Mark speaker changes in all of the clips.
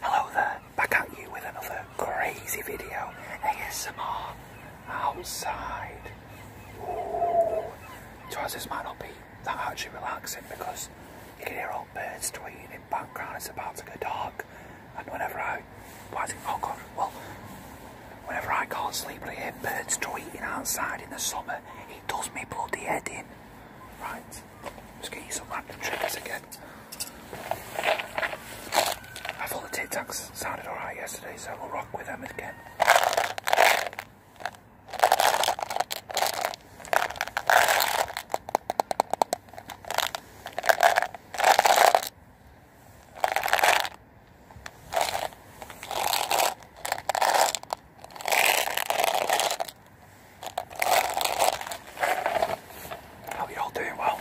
Speaker 1: Hello there, back at you with another crazy video. ASMR outside. Ooh. this might not be that actually relaxing because you can hear old birds tweeting in background. It's about to go dark, and whenever I, oh God, well, whenever I can't sleep and I hear birds tweeting outside in the summer, it does me bloody head in. Right. Just gonna use random triggers again. I thought the Tic sounded alright yesterday, so we'll rock with them again. Are you all doing well.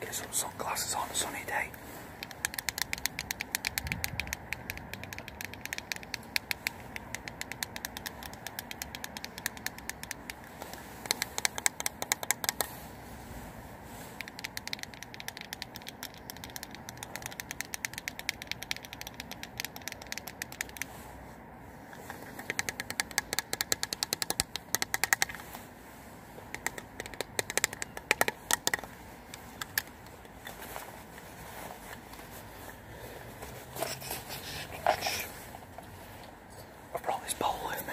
Speaker 1: Get some sunglasses on a sunny day. I brought this bowl with me.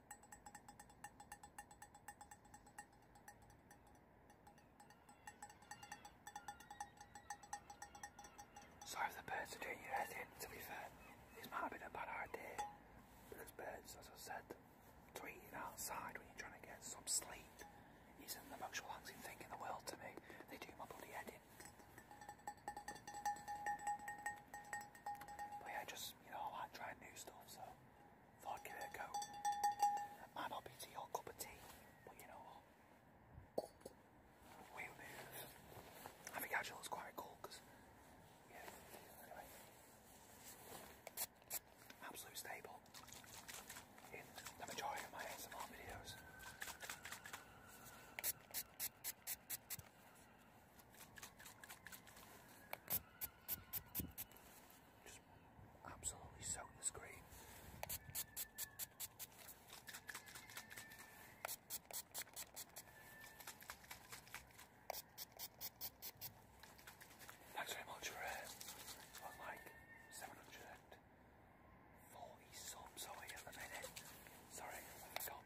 Speaker 1: Sorry if the birds are doing you anything, to be fair. This might have been a bad idea. Because birds, as I said, tweeting outside when you're trying to get some sleep isn't the most relaxing thing in the world to me. They do my bloody head in. But yeah, just, you know, I like trying new stuff, so. Thought I'd give it a go. Might not be to your cup of tea, but you know what? We move. I think quite cool because, yeah, anyway. Absolute stable in the majority of my ASMR videos. Just absolutely so. the screen. Thanks very much uh, for uh, on like 740 subs away at the minute. Sorry, I forgot.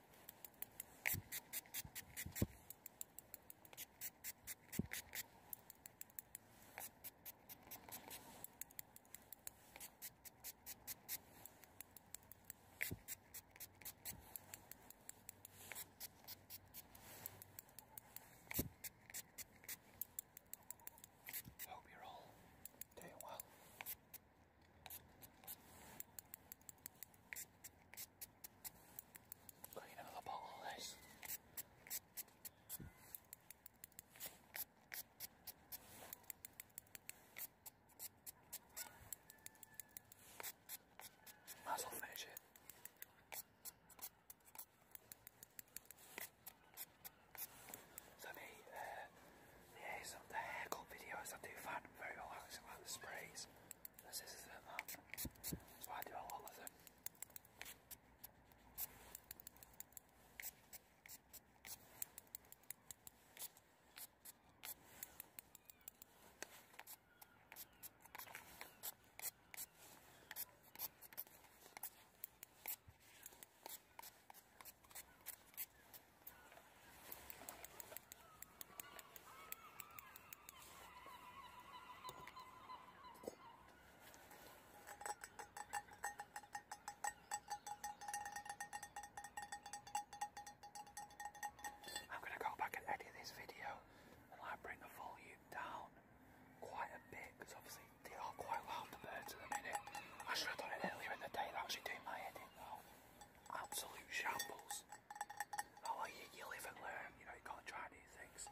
Speaker 1: Hope you're all doing well. Gotta get another bottle of this. Might as well finish it. So the uh, yeah, some of the haircut videos I do find very relaxing, like the sprays, the scissors and that. So do a lot them. I'm going to go back and edit this video and like bring the volume down quite a bit because obviously they are quite loud the birds at the minute. I should have done it earlier in the day, they're actually doing my edit now absolute shambles. I oh, like you, you live and learn, you know, you gotta try new things.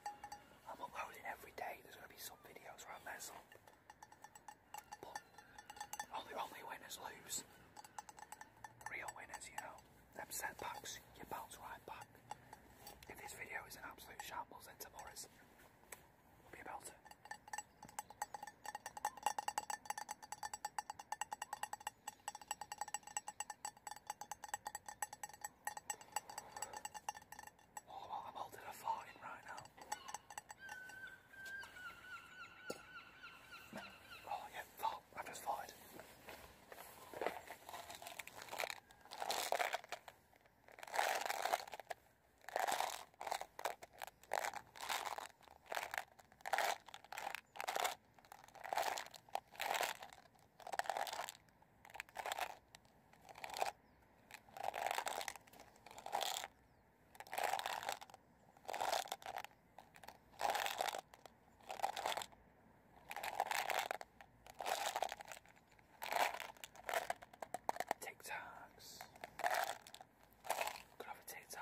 Speaker 1: I'm uploading every day, there's gonna be some videos where I only, only winners lose. Real winners, you know. Them setbacks, you bounce right back. If this video is an absolute shambles, then tomorrow's will be about it. Oh, I'm holding a fart in right now. Oh yeah, fart. I just farted. TikToks. Could have a tic tac.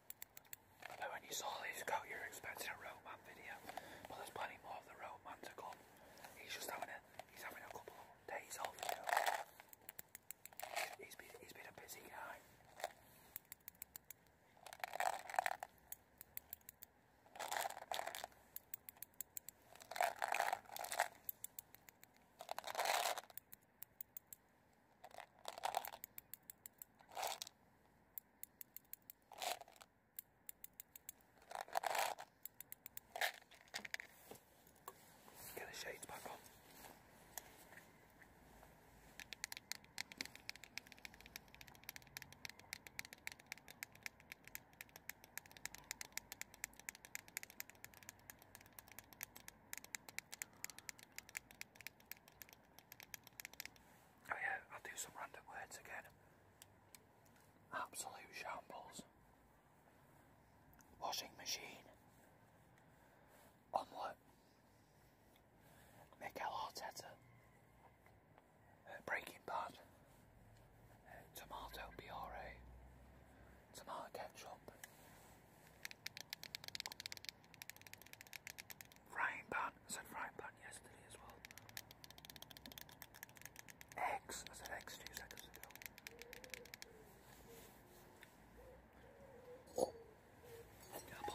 Speaker 1: I when you saw these go, you were expecting a Roman video, but there's plenty more of the Roman to come. He's just having a, he's having a couple of days off. He's been, he's been a busy guy. Get the shades back on. Oh yeah, I'll do some random words again. Absolute shambles. Washing machine. Omelette. Mikel Arteta. Uh, Breaking Bad. Uh, tomato puree. Tomato ketchup. Frying said frying yesterday as well. Eggs. said eggs two seconds ago. Oh. Yeah,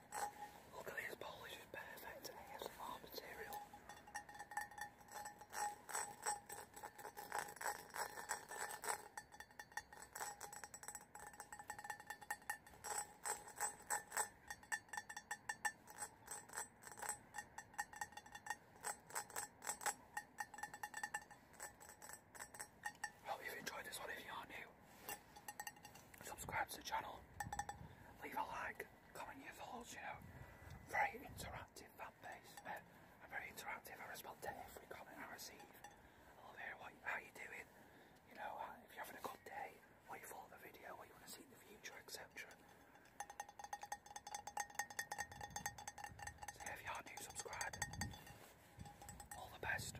Speaker 1: Look at this polish, it's perfect ASMR material. I hope you've enjoyed this one if you are new subscribe to the channel, leave a like, comment your thoughts, you know. Very interactive fan base. i uh, very interactive, I respond to every comment I receive. I love hearing what, how you doing, you know, uh, if you're having a good day, what you thought the video, what you want to see in the future, etc. So if you are new, subscribe. All the best.